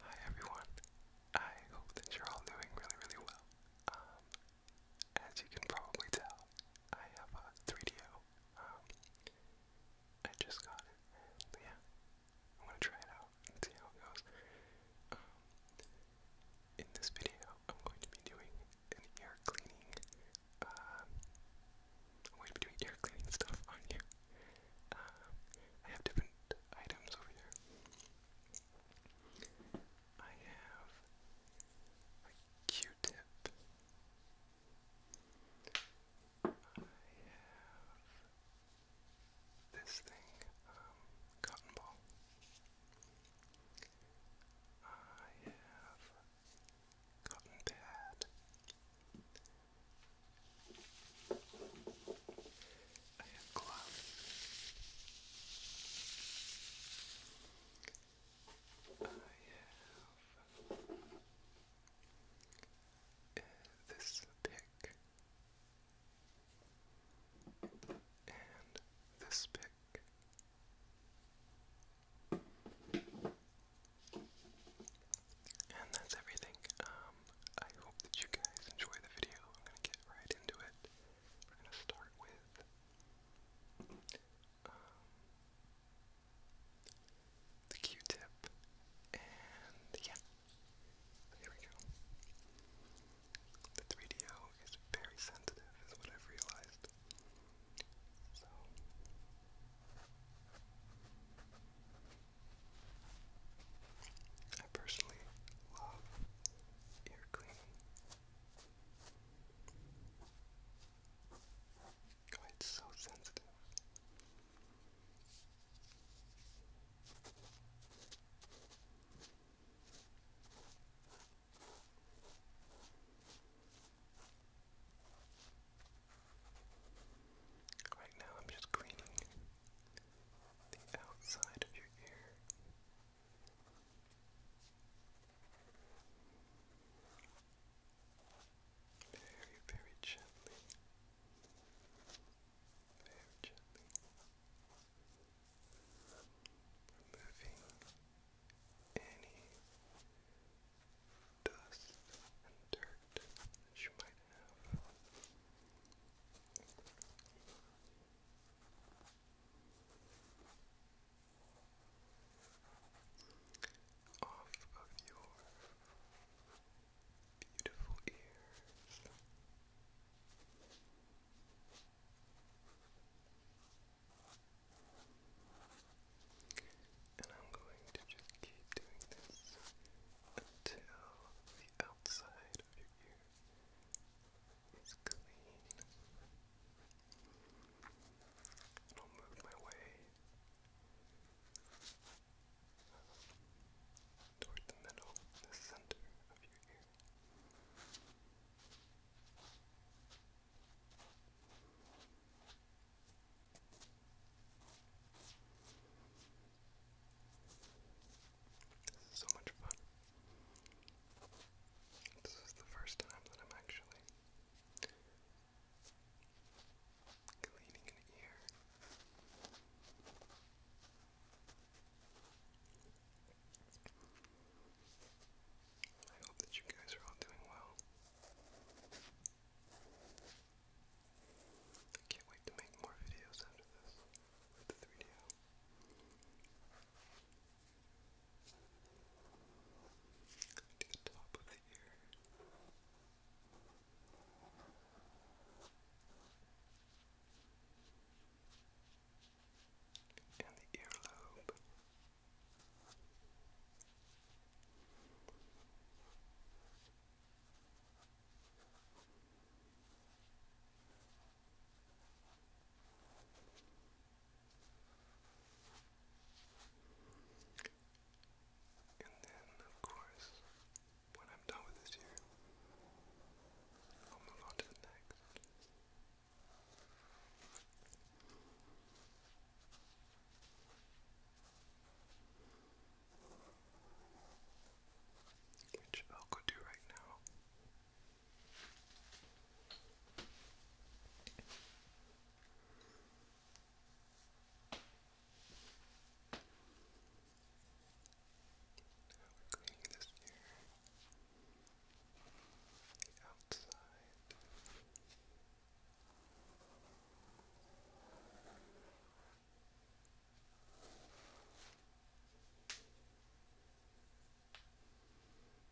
Hi everyone. I hope that you're all doing really, really well. Um, as you can probably tell, I have a 3DO. Um, just got it, yeah, I'm gonna try it out and see how it goes. Um, in this video, I'm going to be doing ear cleaning. Um, I'm going to be doing ear cleaning stuff on you. I have different items over here. I have a Q-tip. I have this thing, um, cotton ball. I have cotton pad. I have gloves. I this pick and this pick. And that's everything. Um, I hope that you guys enjoy the video. I'm gonna get right into it. We're gonna start with um, the Q-tip, and yeah, there we go. The 3DO is very sensitive, is what I've realized. So. I personally love ear cleaning it's so sensitive. Right now, I'm just cleaning the outside of your ear. Very, very gently. Very gently. Removing any dust and dirt that you might have off of your beautiful ears. And I'm going to just keep doing this until the outside of your ear is clean I'll move my way toward the middle, the center of your ear. This is so much fun. This is the first time that I'm actually Cleaning I hope that you guys are all doing well. I can't wait to make more videos after this with the 3DO to the top of the ear. And the earlobe. And then, of course, when I'm done with this year, I'll move on to the next. Which I'll go do right now. Now we're cleaning this here. The outside. Now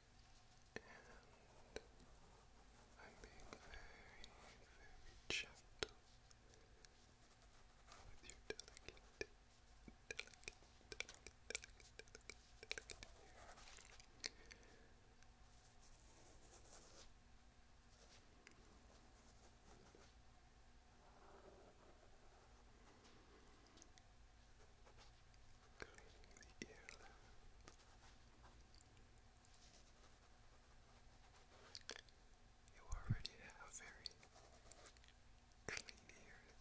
I'm being very, very gentle with your delicate, delicate, delicate, delicate, delicate ear you already have very clean ears.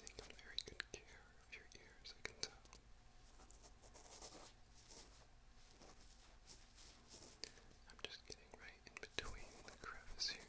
Take very good care of your ears, I can tell. I'm just getting right in between the crevice here.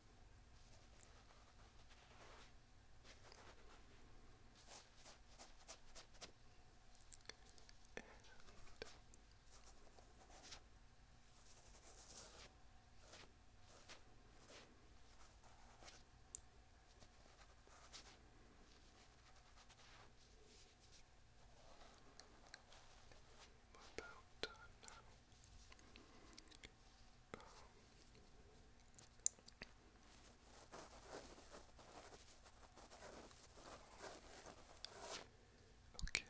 And we about done Okay.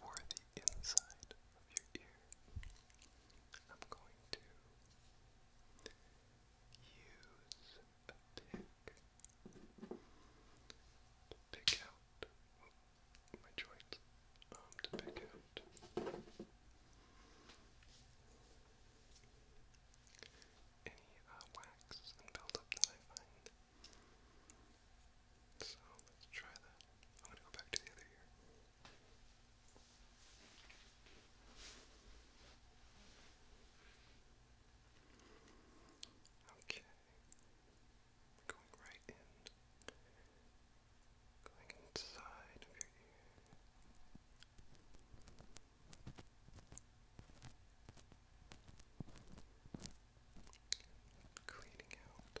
For the inside of your ear, I'm going to use pick, to pick out my joints, um, to pick out any uh, wax and buildup that I find. So let's try that. I'm gonna go back to the other ear. Okay. Going right in. Going inside Cleaning out.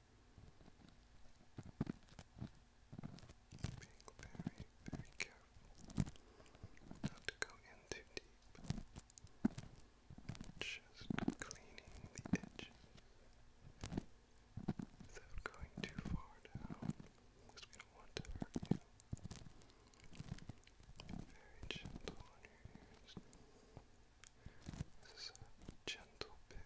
Being very, very careful not to go in deep. Just cleaning the edge without going too far down. It's going to want you. Very gentle on your ears. This is a gentle pick.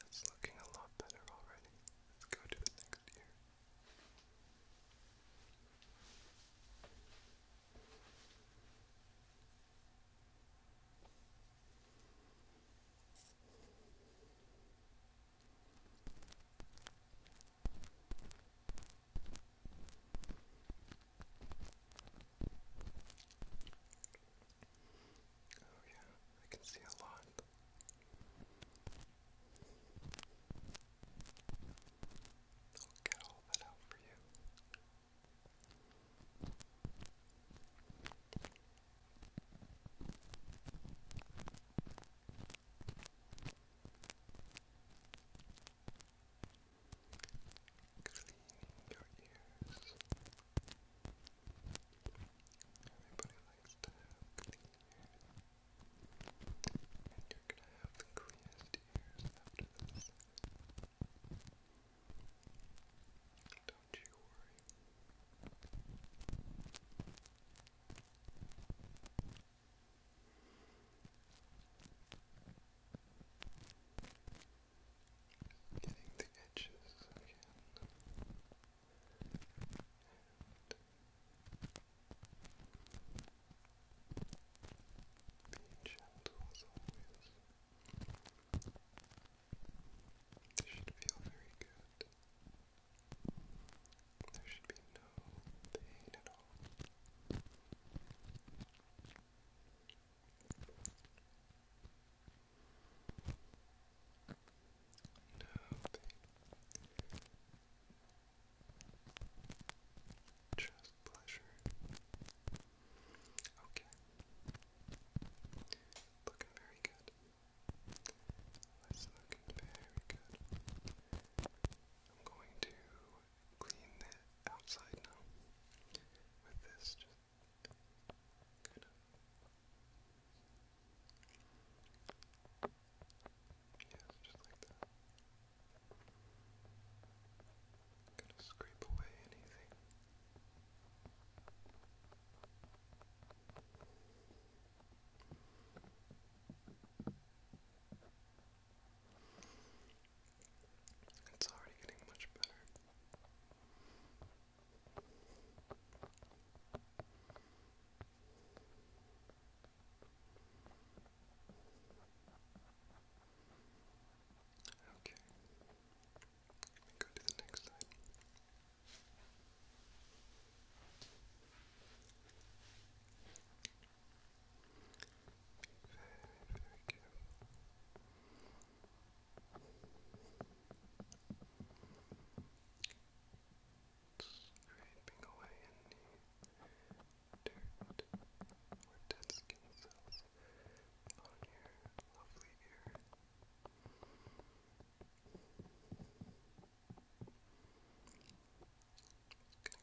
That's looking a lot better already. Let's go to the next ear. Oh, yeah, I can see a lot. I'll get all that out for you. Cleaning your ears. Everybody likes to and you're gonna have the cleanest ears after this. Don't you worry. Getting the edges again. Be gentle as always. This should feel very good. There should be no pain at all. No pain. Just pleasure. Okay. Looking very good. That's looking very good. I'm going to clean the outside now with this just kind Yes, just like that. gonna scrape away anything. It's already getting much better. Okay. Let me go to the next slide. very, very careful scraping away any dirt dead skin cells on your lovely ear. gonna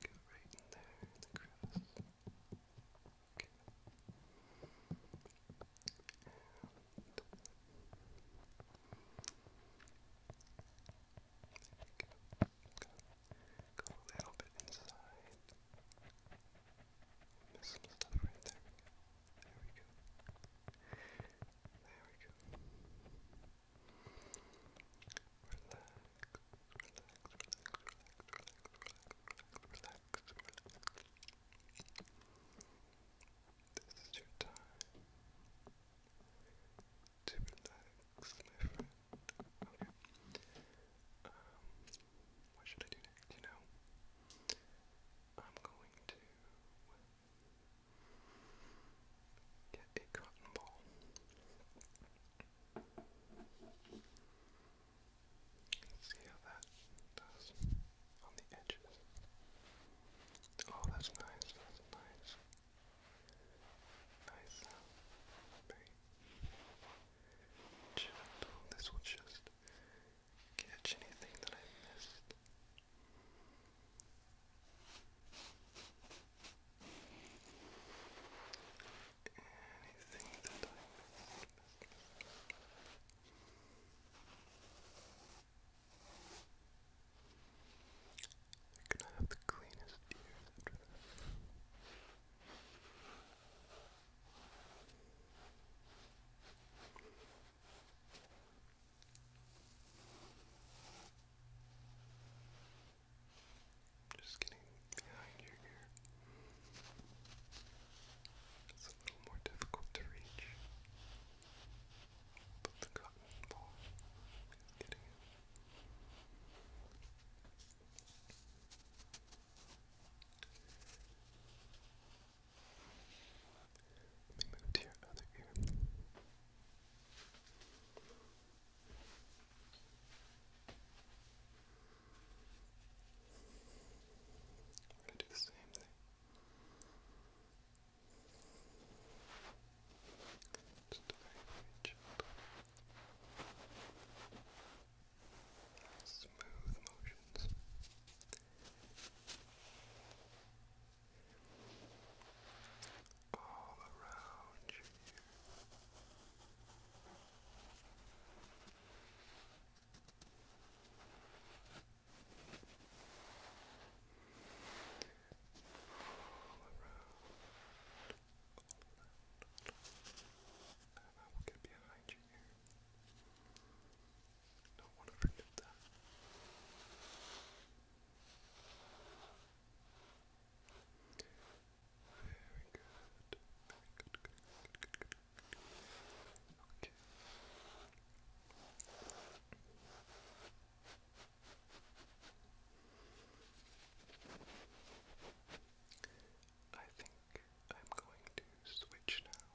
go right in there in the crevice. Okay. Go, go a little bit inside. Missed some stuff right there. There we go. There we go. Relax, relax, relax, relax, relax, relax, relax, relax. This is your time to relax, my friend. Okay. what should I do next? You know, I'm going to get a cotton ball. See how that does on the edges. Oh, that's nice. That's nice. Nice. Very gentle. This will just catch anything that I missed. Anything that I missed. You're gonna have the cleanest ears Just getting behind your ear. It's a little more difficult to reach. But the cotton ball Let me move to your other ear. do the same thing. Just Smooth motions. All around you and I will get behind you here. Don't want to forget that. Very good. Very good, good, good, good, good. Okay. I think I'm going to switch now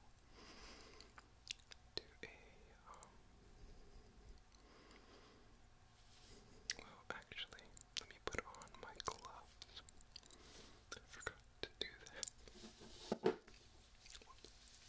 to a, um, well, actually, let me put on my gloves. I forgot to do that.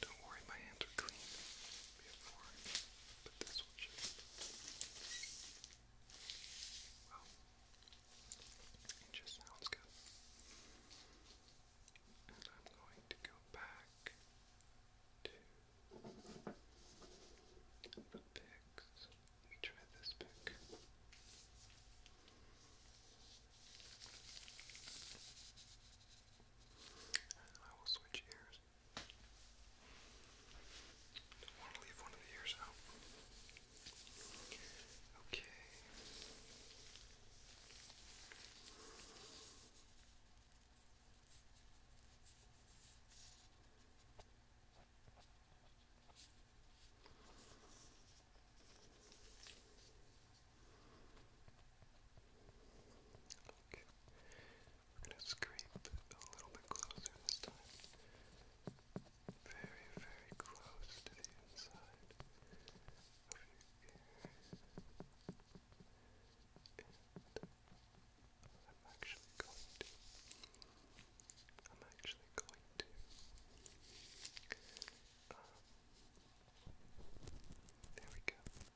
Don't worry, my hands are clean before, but this one should. Well, it just sounds good. And I'm going to go back to the picks. Let me try this pick. And I will switch ears. Don't want to leave one of the ears out. Okay. Okay. We're gonna scrape a little bit closer this time. Very, very close to the inside of your ear. I'm actually going to. I'm actually going to. Um, there we go.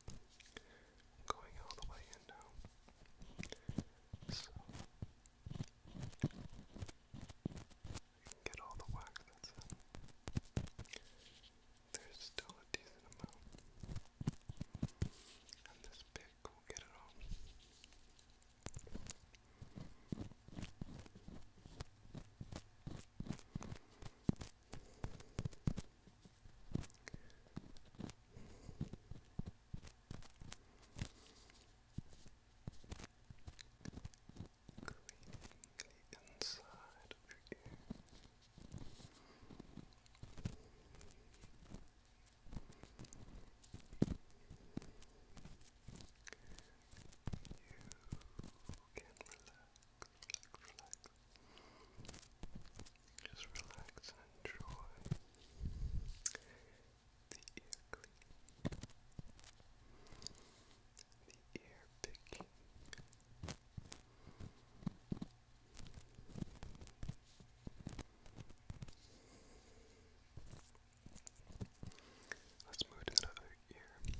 Going all the way in now. So I can get all the wax that's in. There's still a decent amount. And this pick will get it all. Cleaning the inside of your ear. You can relax. Just relax and enjoy the ear clean, the ear picking. Let's move to the other ear.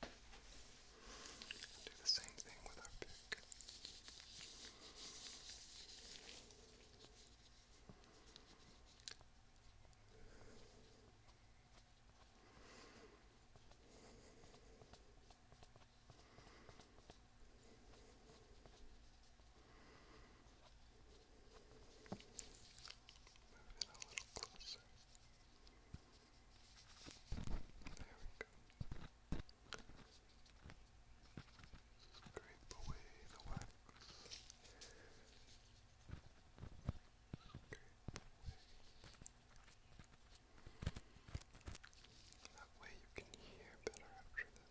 Do the same thing with our pick. Move it a little closer. Good. There we go. Scrape away the wax. Scrape away. That way you can hear better after this.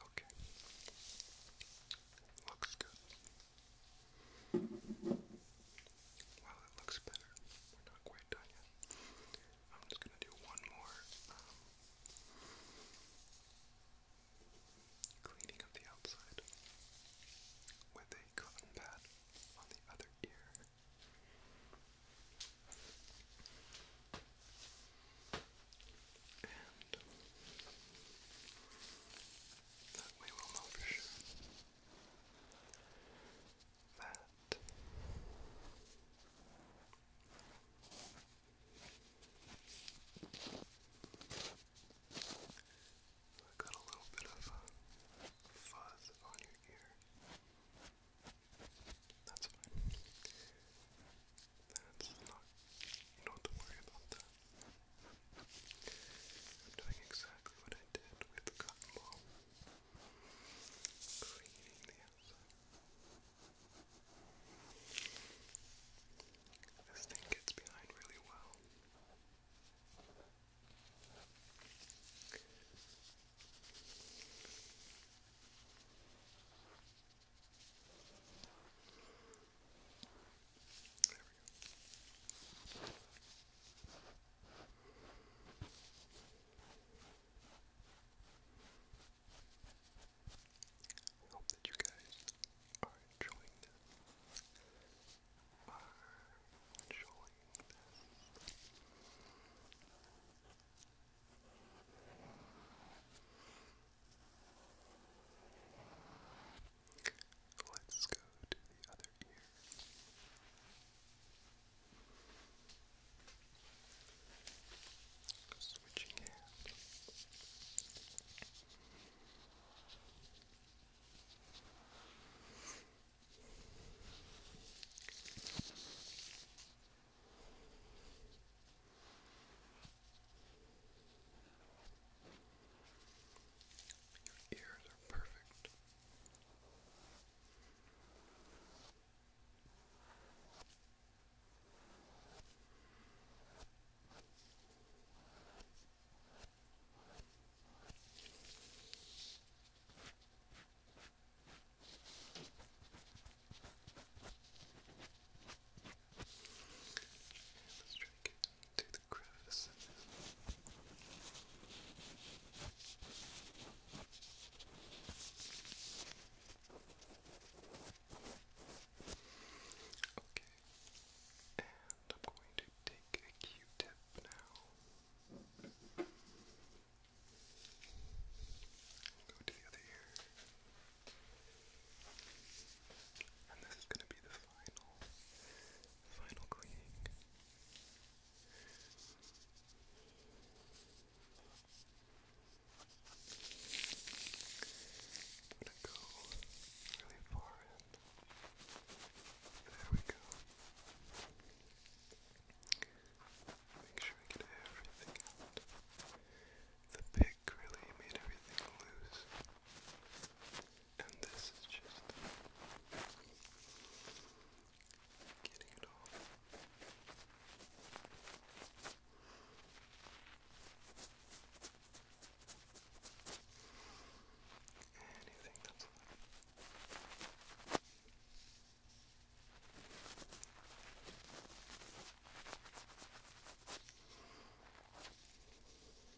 Okay. Looks good. Well, it looks better. We're not quite done yet. I'm just gonna do one more um, cleaning of the outside with a cotton pad on the other ear. That we will know for sure. That. I got a little bit of uh, fuzz on your ear. That's fine. That's not. don't worry about that. I'm doing exactly what I did with the cotton ball. Cleaning the outside. This thing gets behind really well. There Hope that you guys are enjoying this. Are enjoying this. Let's go to the other ear. Switching hand. Your ears are perfect. Let's try to get to the crevices. Okay, and I'm going to take a Q-tip now. Go to the other ear. And this is going to be the final final cleaning. I'm go really far in. There we go. Make sure I get everything out. The pick really made everything loose and this is just getting it all. Anything that's left.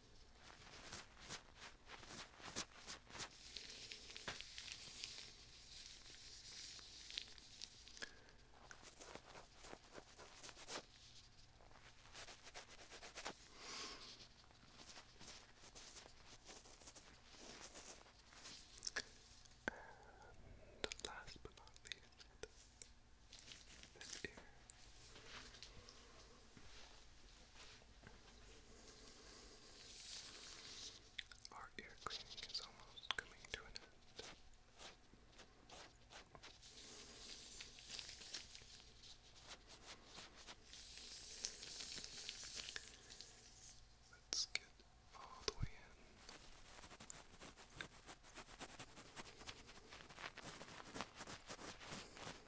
And last but not least, this ear. Our ear cleaning is almost coming to an end. Let's get all the way in.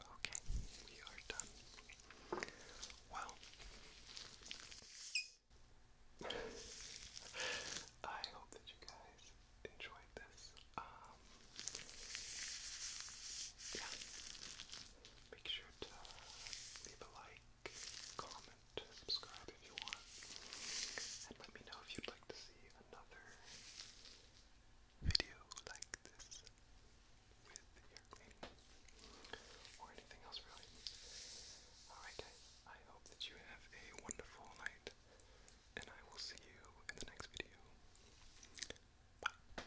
Okay, we are done. Well, I hope that you guys enjoyed this. Um, yeah, make sure to leave a like, comment to subscribe if you want. And let me know if you'd like to see another video like this with ear or anything else really. Alright guys, I hope that you have a wonderful night and I will see you in the next video. Bye.